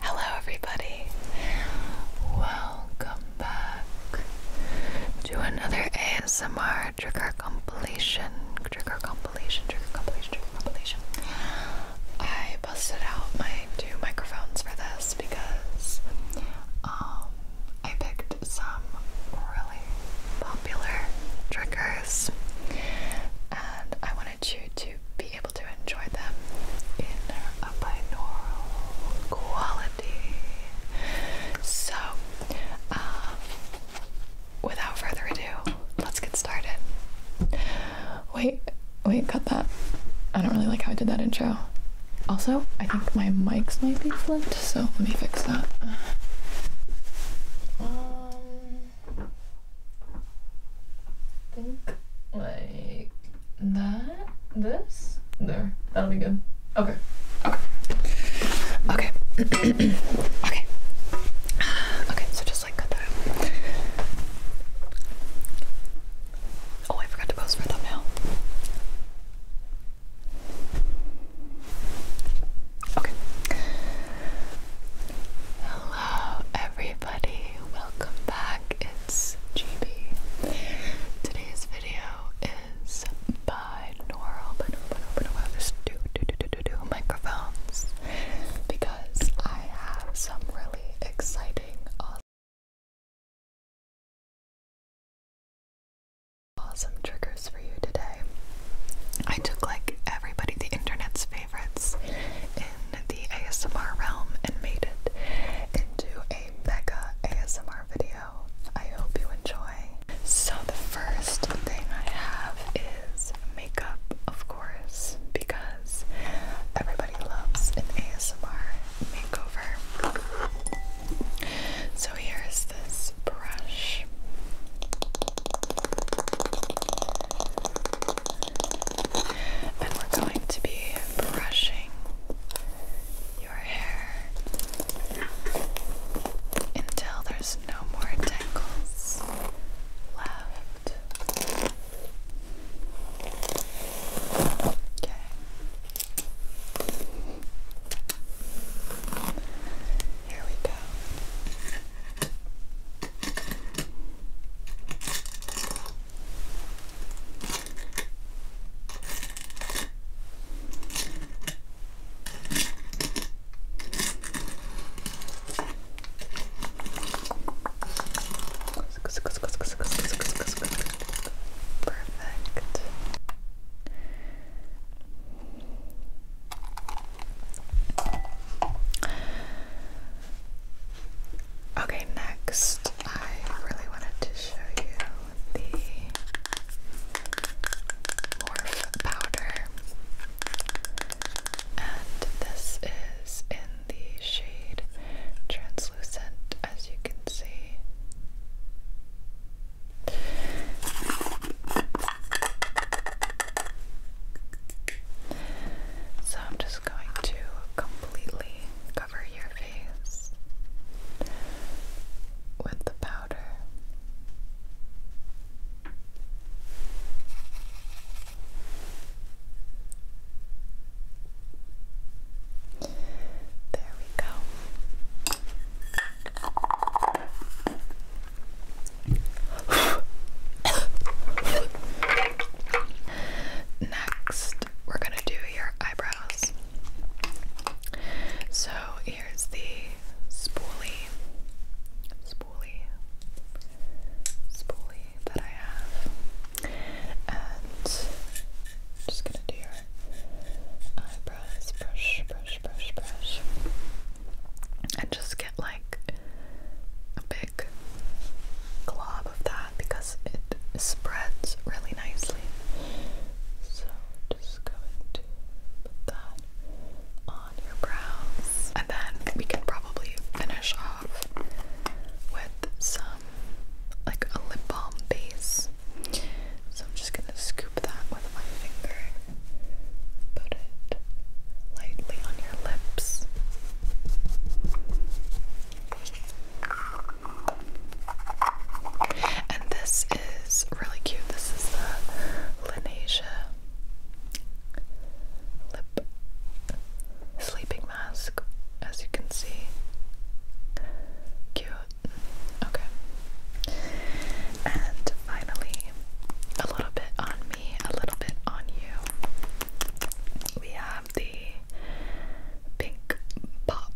Hello, everybody. Welcome back to another ASMR trigger compilation. Trigger compilation, trigger compilation, trigger compilation. I busted out my two microphones for this because um, I picked some really popular triggers and I wanted you to be able to enjoy them in a binaural quality. So, uh, without further ado, let's get started. Wait, wait, cut that. I don't really like how I did that intro. Also, I think my mics might be flint so let me fix that. Um, think like that. This there. That'll be good. Okay. Okay. Okay. okay. Okay. So just like that. Oh, I forgot to post for a thumbnail. Okay. Hello, everybody. Welcome back. It's GB. Today's video is binaural, binaural, binaural, binaural. There's two, two, two, two, two, two microphones because I have some really exciting, Awesome triggers for you today. I took like everybody, the internet's favorites in the ASMR realm, and made it into a mega ASMR video. I hope you enjoy. So, the first thing I have is makeup, of course, because everybody loves an ASMR makeover. So, so here's this brush. And we're going to be brushing your hair until there's no more tangles left. Okay. Here we go. Perfect. Okay, next, I really wanted to show you the Morph powder, and this is in the shade translucent, as you can see. So I'm just going to completely cover your face with the powder. There we go. Next, we're going to do your eyebrows. So, here's the spoolie. Spoolie. Spoolie that I have. And just gonna do your eyebrows, brush, brush, brush, brush, and just get like a big glob of that because it spreads really nicely. So just going to put that on your brows, and then we can probably finish off with some like a lip balm base. So I'm just gonna scoop that with my finger. Put it lightly on your lips. And this is really cute. This is the Lanesia lip sleeping mask, as you can see. Cute. Okay. And finally, a little bit on me, a little bit on you. We have the pink pop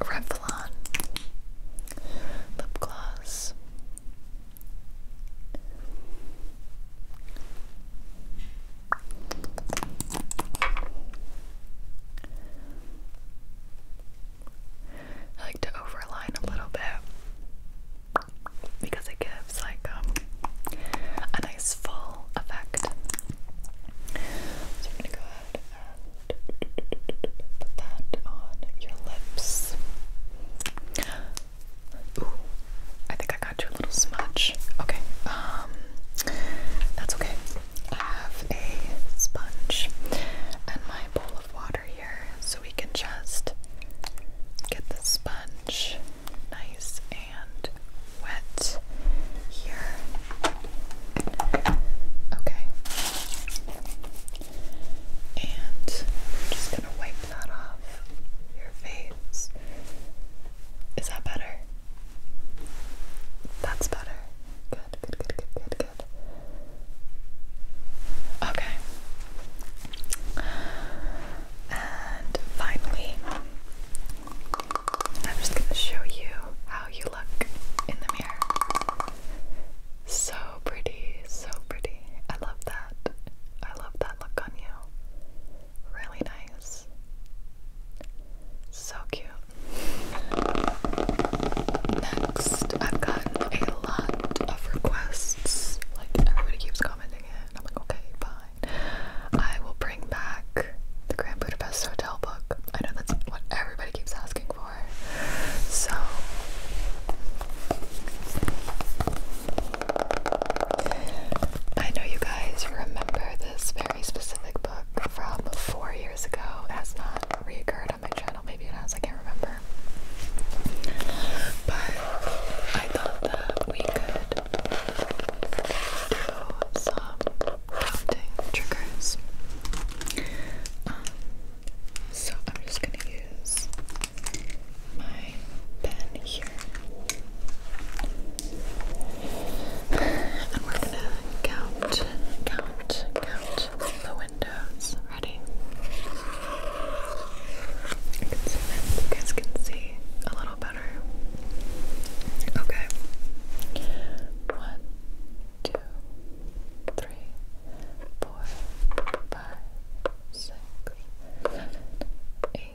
Revlon lip gloss. I like to overline a little bit because it gives like um, a nice full effect. So I'm gonna go ahead and put that on your lips. Ooh, I think I a little smudge. Okay, um, that's okay. I have a sponge and my bowl of water here, so we can just get the sponge nice and wet here. Okay, and I'm just gonna wipe that off your face. Is that better? That's better. Good, good, good, good, good, good. Okay. And finally, I'm just going to show you how you look in the mirror. So pretty, so pretty. I love that. I love that look on you really nice. So cute. Next, I've gotten a lot of requests. Like, everybody keeps commenting it. I'm like, okay, fine. I will bring back the Grand Budapest Hotel book. I know that's what everybody keeps asking for. So, I know you guys remember this very specific book from four years ago. It has not reoccurred on my channel. Maybe it has, I can't remember. But I thought that we could do some counting triggers. Um, so I'm just gonna use my pen here. And we're gonna count, count, count the windows. Ready? You guys can see a little better. Okay. One, two, three, four, five, six, seven, eight,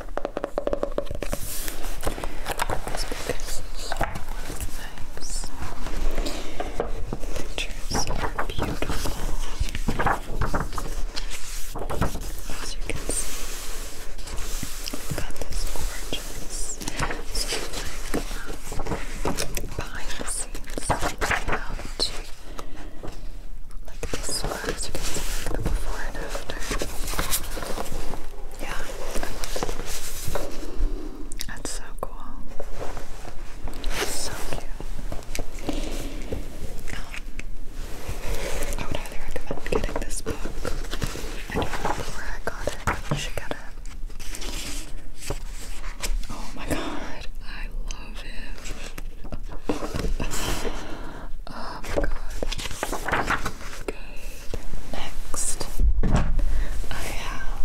This because it's nice. The pictures are beautiful. As you can see, we got this gorgeous sort behind the scenes layout. Like this one, as you can see, the before and after. Yeah, That's so cool. So cute. Um, I would highly recommend getting this book. I don't remember where I got it. You should get it. Oh my god, I love it. Oh my god. Good. Next, I have.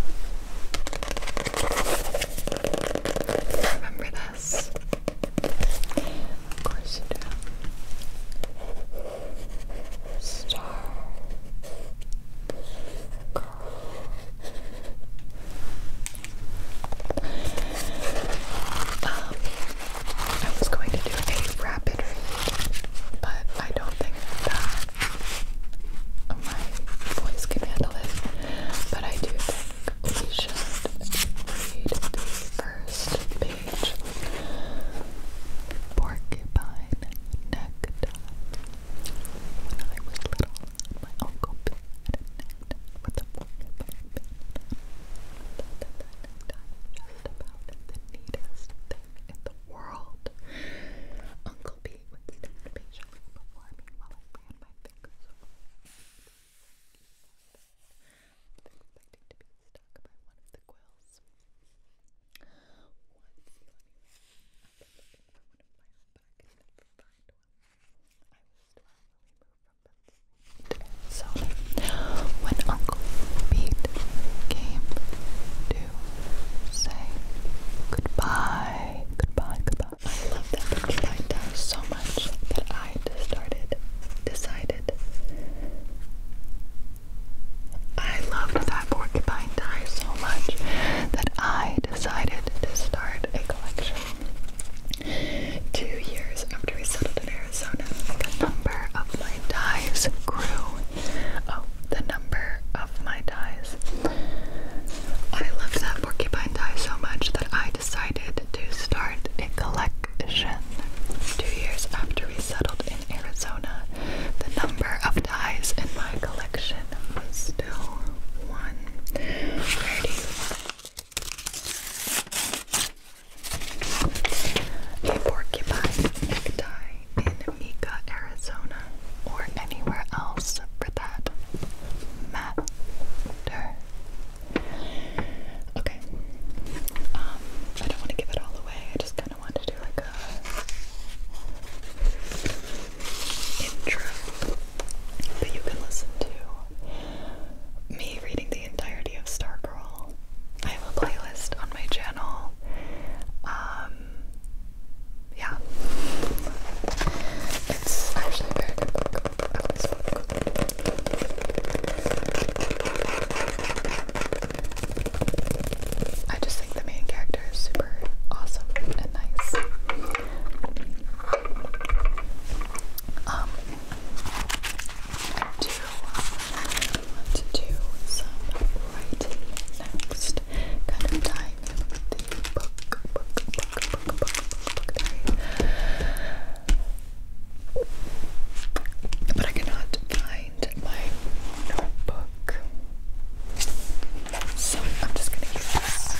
Remember this? Of course you do. Star. Girl. Um, I was going to do a rapid read, but I don't think that my voice can handle it. But I do think we should read the first page. Porcupine nectar. When I was little, my uncle Bill had a with a porcupine just about the neatest thing in the world. Uncle Pete would stand patiently before me while I ran my fingers over expecting to be stuck by one of the quills. Once he let me I've been one of my own, but I could never find one. I was 12 when we moved so, when Uncle Pete came to say goodbye, goodbye, goodbye, I love that picture right so much that I decided. I loved that porcupine tie so much that I decided to start a collection. Two years after we settled in Arizona, the number of my ties grew. Oh, the number of my ties. I loved that porcupine tie so much that I decided to start a collection. Two years after we settled in Arizona, the number of ties in my collection was still one. Where a porcupine in Mika, Arizona, or anywhere else for that matter. Okay. Um, I don't want to give it all away. I just kind of want to do like a intro that you can listen to. Me reading the entirety of Stargirl I have a playlist on my channel. Um, yeah, it's actually very good I just think the main character is super awesome and nice. Um, do I want to do some writing next. Kind of tying in with the book, book, book, book, book, book, book diary. But I cannot find my notebook. So I'm just gonna use this.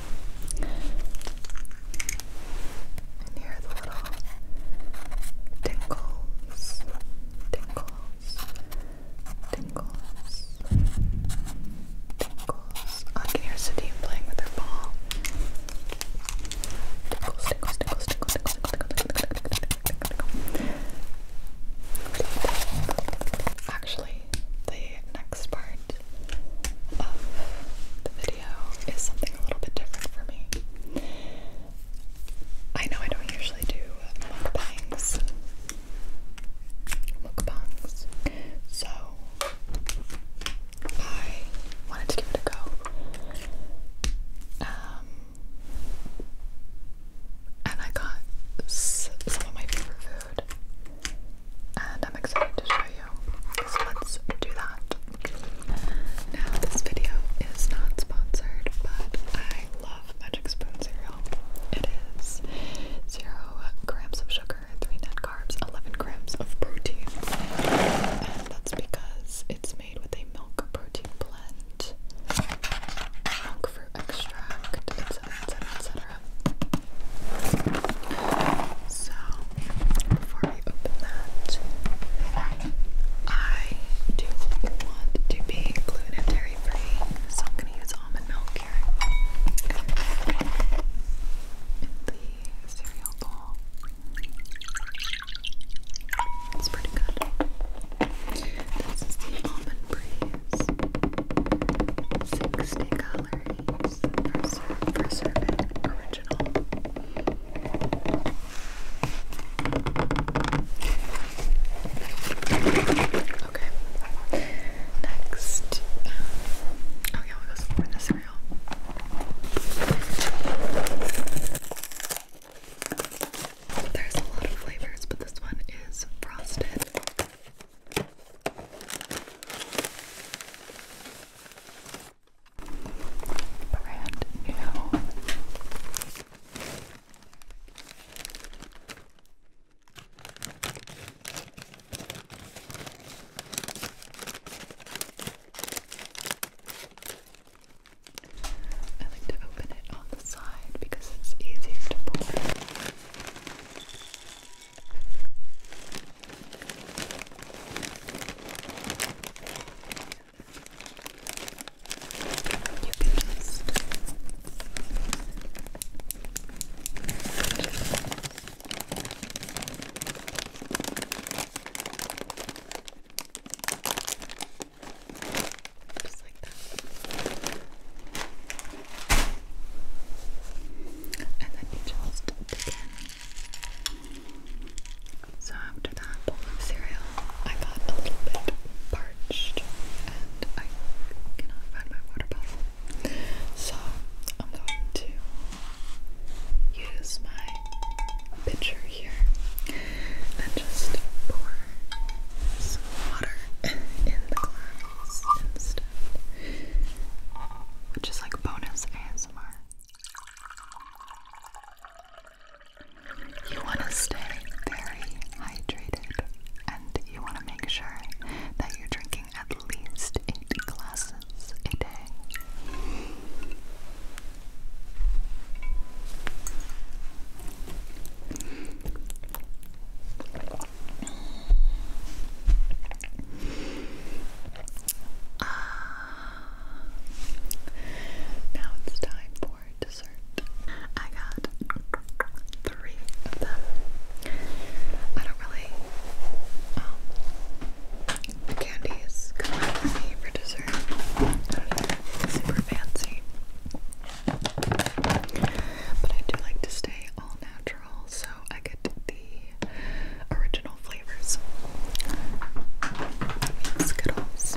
And here the little tingles, tingles, tingles, tingles. Oh, I can hear Sadie playing with her ball. Tingles, tingles, tingles, tingles, tingles, tingles, tingles, tingles, tingles, tingles, tingles. Actually, the next part of the video is something a little bit different for me. I know I don't usually do mukbangs, mukbangs, so I wanted to give it a go. Um, and I got some of my favorite and I'm excited to show you. So let's do that. Now, this video is not sponsored, but I love Magic Spoon cereal. It is zero grams of sugar, three net carbs, 11 grams of protein. And that's because it's made with a milk protein blend, milk fruit extract, so, before we open that, I do want to be gluten free, so I'm going to use almond milk here the cereal bowl. It's pretty good. This is the Almond Breeze 60 color is the Preservant Original. Okay. Next. Um, oh, yeah, we'll go some cereal. There's a lot of flavors, but this one is frosted. Brand new. I like to open it on the side because it's easier to pour. You can just just like that and then you just So after that bowl of cereal, I got a little bit parched and I cannot find my water bottle. So I'm going to use my pitcher here and just pour some water in the glass which is like bonus ASMR. You want to stay very hydrated and you want to make sure that you're drinking at least 8 glasses a day. Uh, now it's time for dessert. I got three of them. I don't really. Um, the candy is for dessert. super fancy. But I do like to stay all natural, so I get the original flavors. Skittles.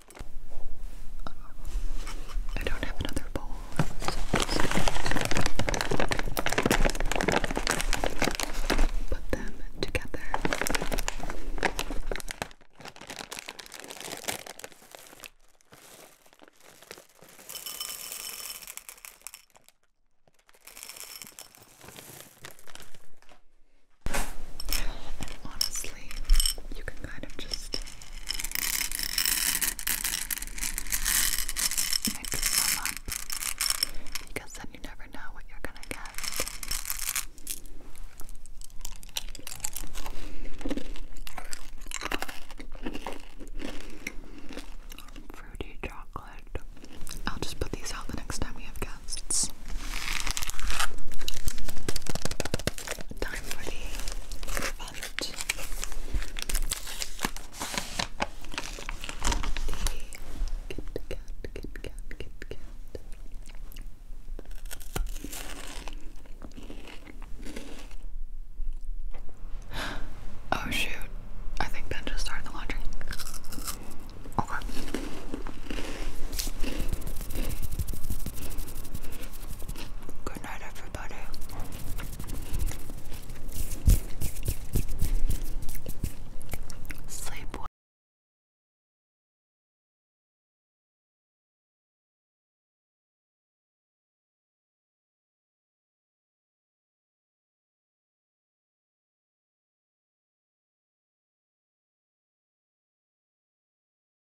I don't have another bowl. Put them together. honestly, you can kind of just Mix them up because then you never know what you're gonna get. Fruity chocolate. I'll just put these out the next time we have guests. Time for the Oh shoot, I think Ben just started the laundry. Okay. Good night, everybody. Sleep